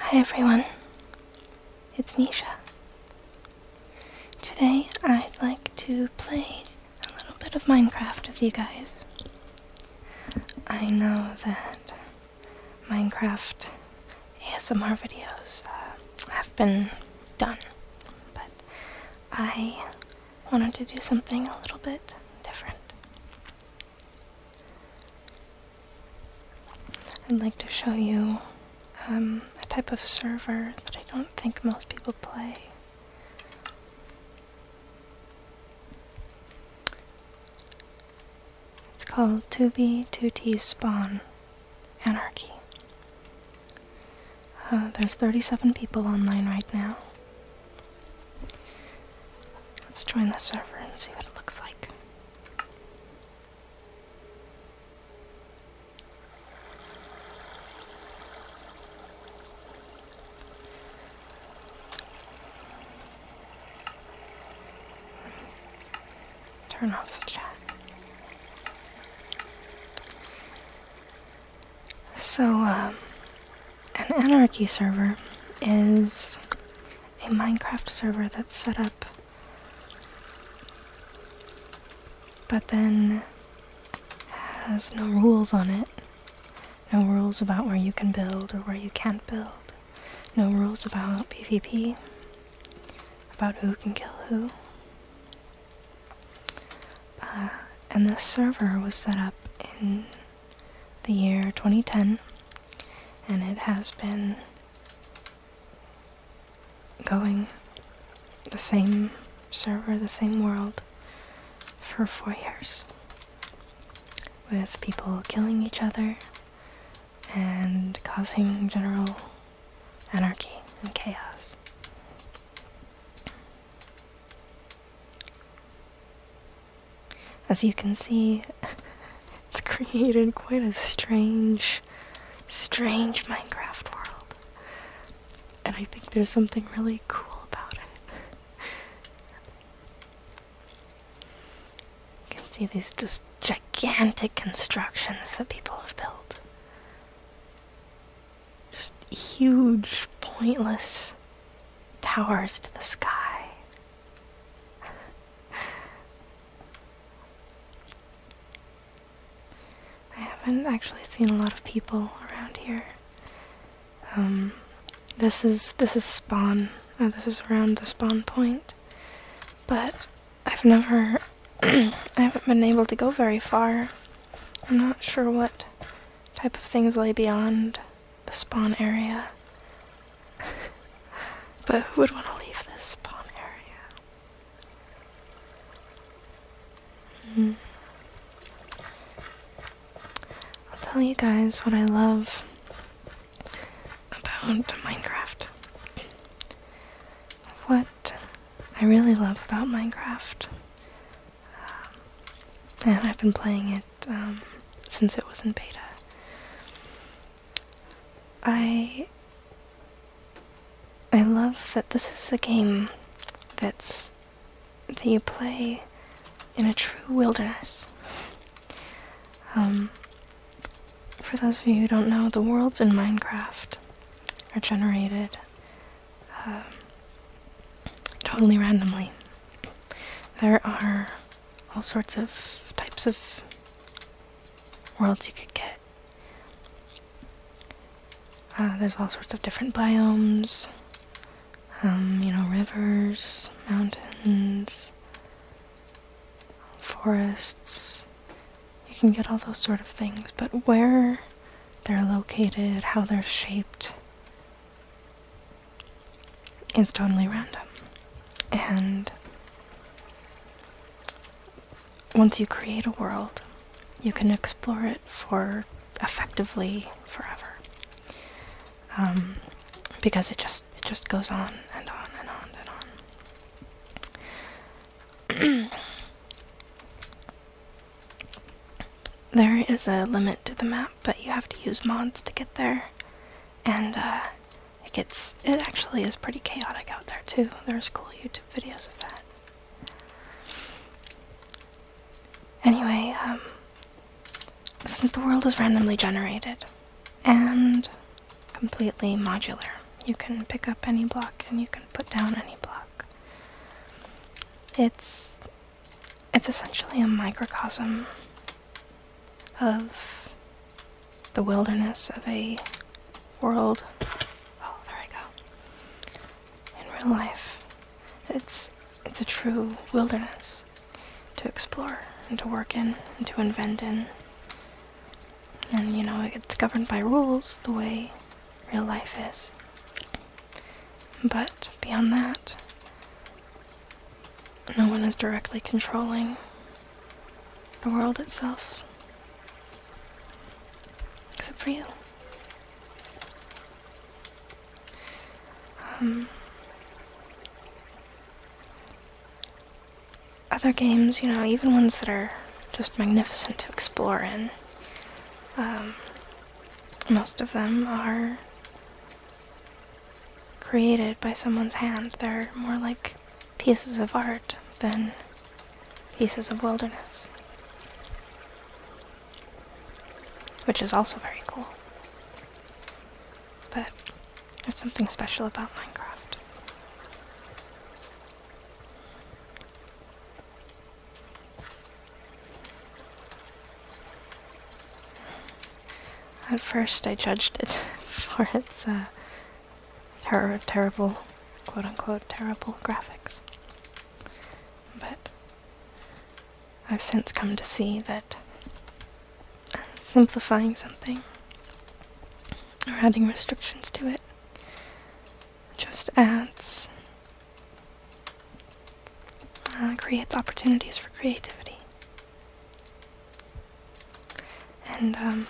Hi everyone, it's Misha. Today I'd like to play a little bit of Minecraft with you guys. I know that Minecraft ASMR videos uh, have been done, but I wanted to do something a little bit different. I'd like to show you um, a type of server that I don't think most people play. It's called 2B2T Spawn Anarchy. Uh, there's 37 people online right now. Let's join the server and see what it looks like. Turn off the chat. So, um, an anarchy server is a Minecraft server that's set up, but then has no rules on it. No rules about where you can build or where you can't build. No rules about PvP, about who can kill who. Uh, and this server was set up in the year 2010 and it has been going the same server, the same world for four years with people killing each other and causing general anarchy and chaos. As you can see, it's created quite a strange, strange Minecraft world. And I think there's something really cool about it. You can see these just gigantic constructions that people have built. Just huge, pointless towers to the sky. I haven't actually seen a lot of people around here. Um, this is this is spawn. Uh, this is around the spawn point, but I've never, I haven't been able to go very far. I'm not sure what type of things lay beyond the spawn area. but who would want to leave this spawn area? Mm. I'll tell you guys what I love about Minecraft. What I really love about Minecraft, um, and I've been playing it um, since it was in beta. I I love that this is a game that's that you play in a true wilderness. Um, for those of you who don't know, the worlds in Minecraft are generated um, totally randomly. There are all sorts of types of worlds you could get. Uh, there's all sorts of different biomes. Um, you know, rivers, mountains, forests. You can get all those sort of things, but where they're located, how they're shaped, is totally random. And once you create a world, you can explore it for effectively forever. Um, because it just it just goes on and on and on and on. there is a limit to the map but you have to use mods to get there. And uh, it gets, it actually is pretty chaotic out there too. There's cool YouTube videos of that. Anyway, um, since the world is randomly generated and completely modular, you can pick up any block and you can put down any block. It's it's essentially a microcosm of the wilderness of a world. Oh, there I go. In real life, it's it's a true wilderness to explore and to work in and to invent in. And you know, it's governed by rules the way real life is. But beyond that, no one is directly controlling the world itself, except for you. Um, other games, you know, even ones that are just magnificent to explore in, um, most of them are created by someone's hand. They're more like pieces of art than pieces of wilderness. Which is also very cool. But there's something special about Minecraft. At first, I judged it for its uh, terrible, quote unquote, terrible graphics. But I've since come to see that simplifying something or adding restrictions to it just adds uh, creates opportunities for creativity. And um,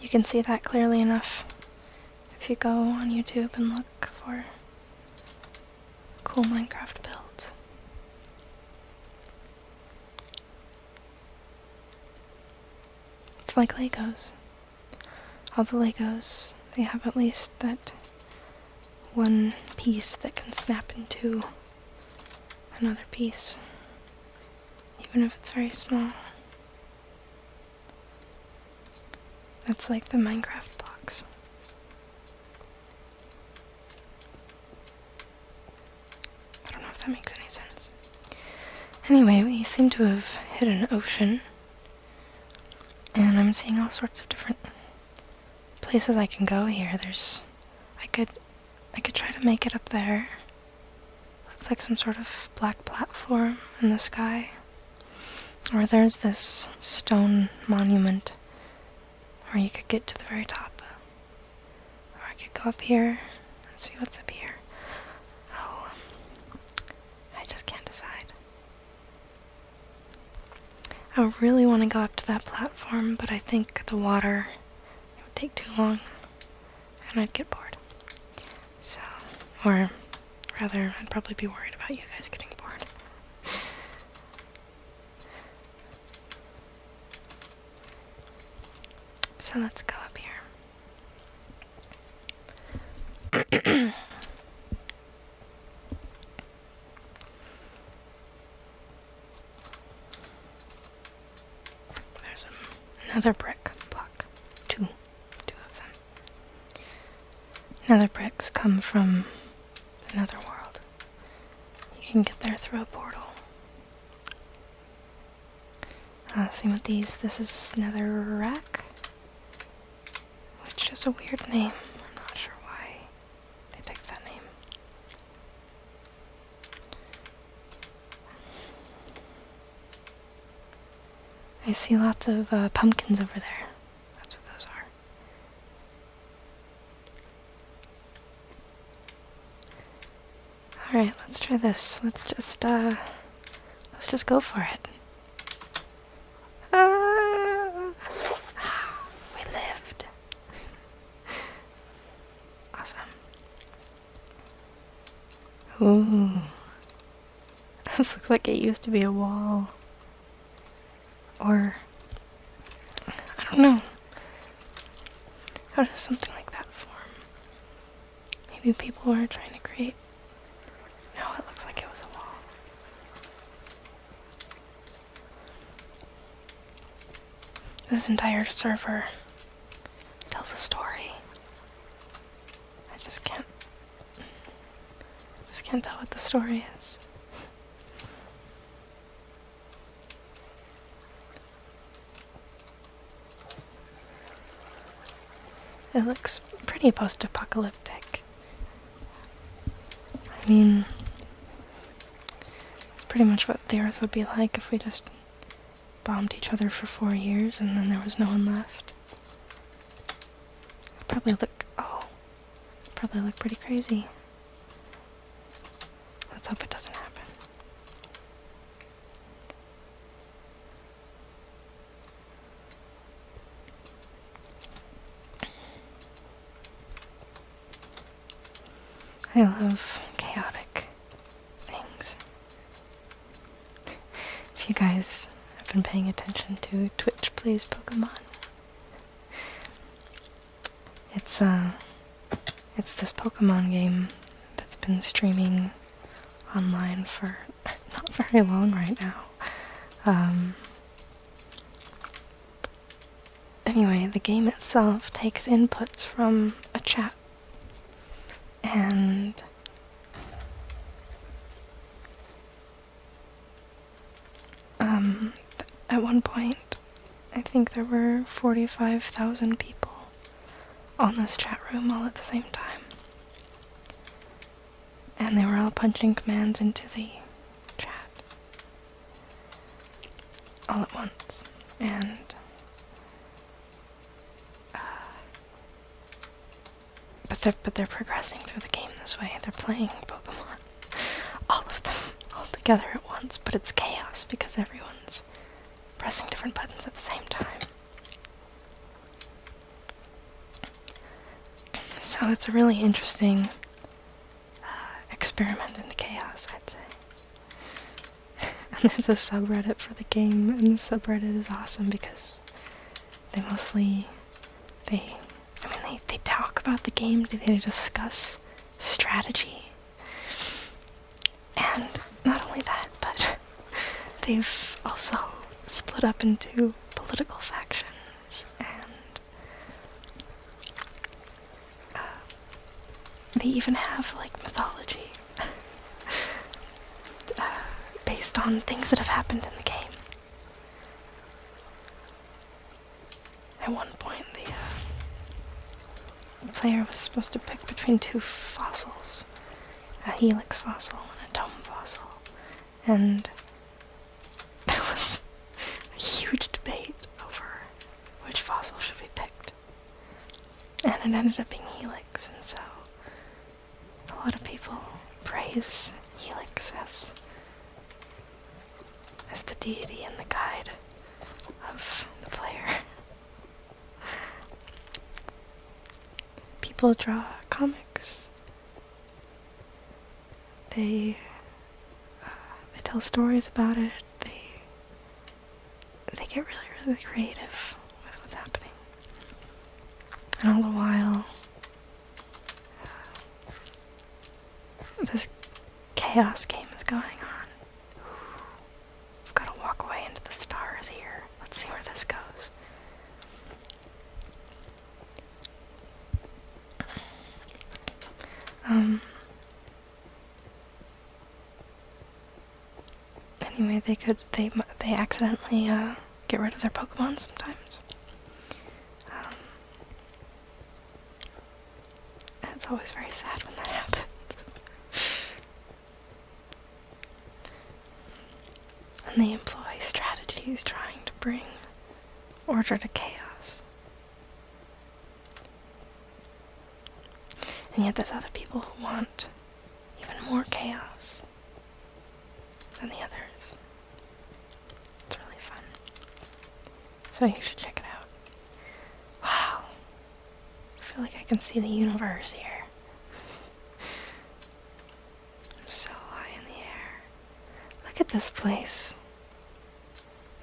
you can see that clearly enough if you go on YouTube and look for cool Minecraft builds. It's like Legos. All the Legos, they have at least that one piece that can snap into another piece, even if it's very small. That's like the Minecraft blocks. I don't know if that makes any sense. Anyway, we seem to have hit an ocean, and I'm seeing all sorts of different places I can go here. There's I could I could try to make it up there. Looks like some sort of black platform in the sky. Or there's this stone monument where you could get to the very top. Or I could go up here and see what's up here. Oh, I just can't decide. I really want to go up to that platform, but I think the water would take too long and I'd get bored. So, or rather, I'd probably be worried about you guys getting bored. so let's go up here. There's another brick block. Two. Two of them. Nether bricks come from another world. You can get there through a portal. Uh, same with these. This is Nether Rack, which is a weird name. I'm not sure why they take that name. I see lots of uh, pumpkins over there. That's what those are. Alright, let's try this. Let's just, uh, let's just go for it. Ah, we lived. awesome. Ooh. This looks like it used to be a wall. Or, I don't know. How does something like that form? Maybe people were trying to create. No, it looks like it was a wall. This entire server tells a story. I just can't. just can't tell what the story is. It looks pretty post apocalyptic. I mean, it's pretty much what the Earth would be like if we just bombed each other for four years and then there was no one left. probably look. Oh. probably look pretty crazy. Let's hope it doesn't happen. I love chaotic things. If you guys have been paying attention to Twitch Plays Pokemon, it's uh it's this Pokemon game that's been streaming online for not very long right now. Um, Anyway, the game itself takes inputs from a chat and um, at one point, I think there were 45,000 people on this chat room all at the same time and they were all punching commands into the chat all at once, and uh, but they're but they're progressing through the game this way. They're playing Pokemon, all of them, all together at once. But it's chaos because everyone's pressing different buttons at the same time. So it's a really interesting uh, experiment into chaos, I'd say. and there's a subreddit for the game, and the subreddit is awesome because they mostly, they, I mean, they, they talk about the game, they discuss strategy, and not only that, but they've also split up into political factions and they even have like mythology uh, based on things that have happened in the game. At one point, the uh, player was supposed to pick between two fossils a helix fossil and a dome fossil and there was a huge debate over which fossil should be picked. And it ended up being Helix, and so a lot of people praise Helix as, as the deity and the guide of the player. People draw comics they uh, they tell stories about it. They they get really really creative with what's happening, and all the while uh, this chaos game is going on. Ooh, I've got to walk away into the stars here. Let's see where this goes. Um, anyway, they could they they accidentally uh, get rid of their Pokemon sometimes. Um, that's always very sad when that happens. and they employ strategies trying to bring order to chaos. And yet there's other people who want even more chaos than the others. It's really fun. So you should check it out. Wow. I feel like I can see the universe here. I'm so high in the air. Look at this place.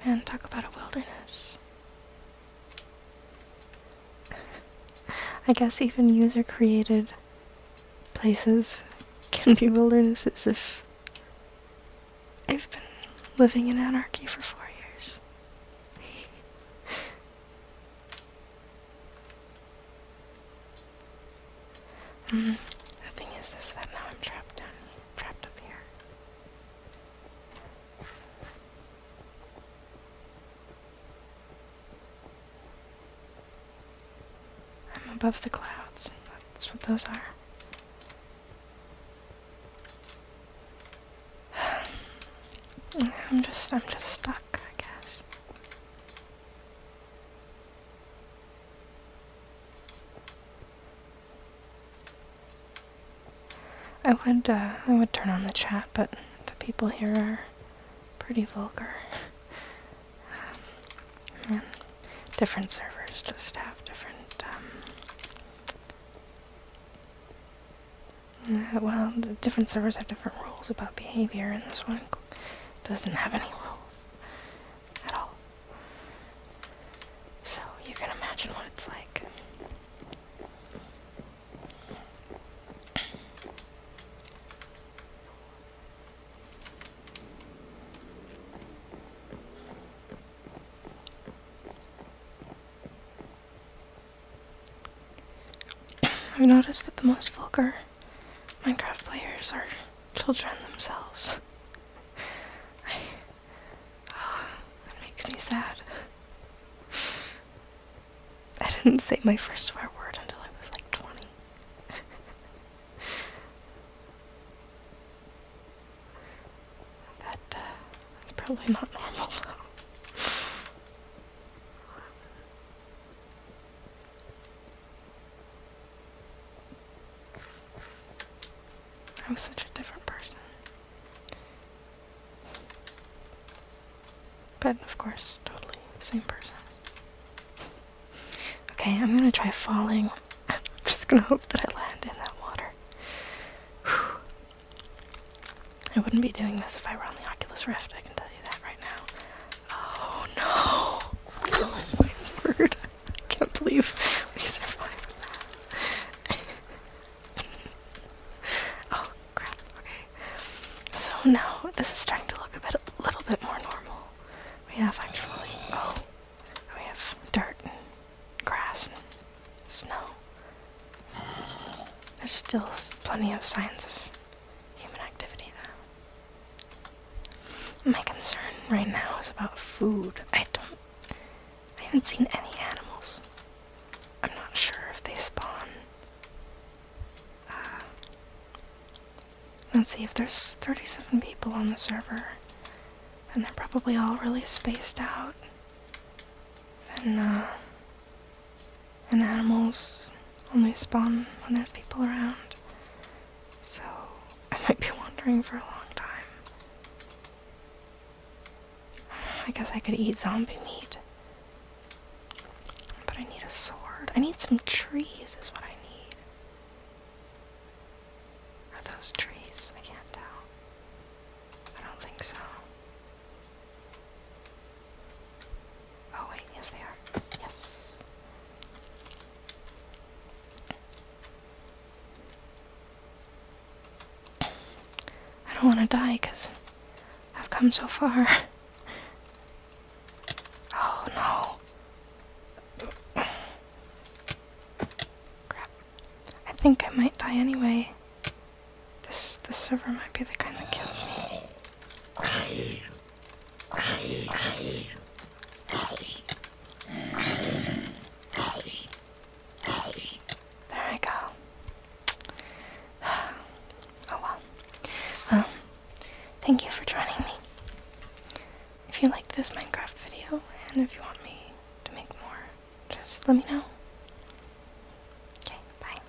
Man, talk about a wilderness. I guess even user created places can be wildernesses if I've been living in anarchy for four years. the thing is, is that now I'm trapped down trapped up here. I'm above the clouds. That's what those are. I'm just, I'm just stuck, I guess. I would uh, I would turn on the chat, but the people here are pretty vulgar. Um, different servers just have different. Um, uh, well, different servers have different rules about behavior, and this one doesn't have any rules at all. So you can imagine what it's like. I've noticed that the most vulgar Minecraft players are children themselves. Oh, that makes me sad. I didn't say my first swear word until I was like 20. that, uh, that's probably not normal, i was such a different person. But of course, totally the same person. Okay, I'm gonna try falling. I'm just gonna hope that I land in that water. I wouldn't be doing this if I were on the Oculus Rift, I can tell you that right now. Oh no! Oh my word! I can't believe we survived that. oh crap! Okay. So now this is starting to look a bit, a little bit more normal. We have actually oh, we have dirt and grass and snow. There's still plenty of signs of human activity though. My concern right now is about food. I don't. I haven't seen any animals. I'm not sure if they spawn. Uh, let's see, if there's 37 people on the server, and they're probably all really spaced out, then, uh, and animals only spawn when there's people around. So I might be wandering for a long time. I guess I could eat zombie meat. But I need a sword. I need some trees is what I need. Are those trees? I can't tell. I don't think so. Oh wait, yes they are. Yes. I don't want to die because I've come so far. Oh no. Crap. I think I might die anyway. This, this server might be the kind that kills me. There we go. Oh well. Well, um, thank you for joining me. If you like this Minecraft video, and if you want me to make more, just let me know. Okay, bye.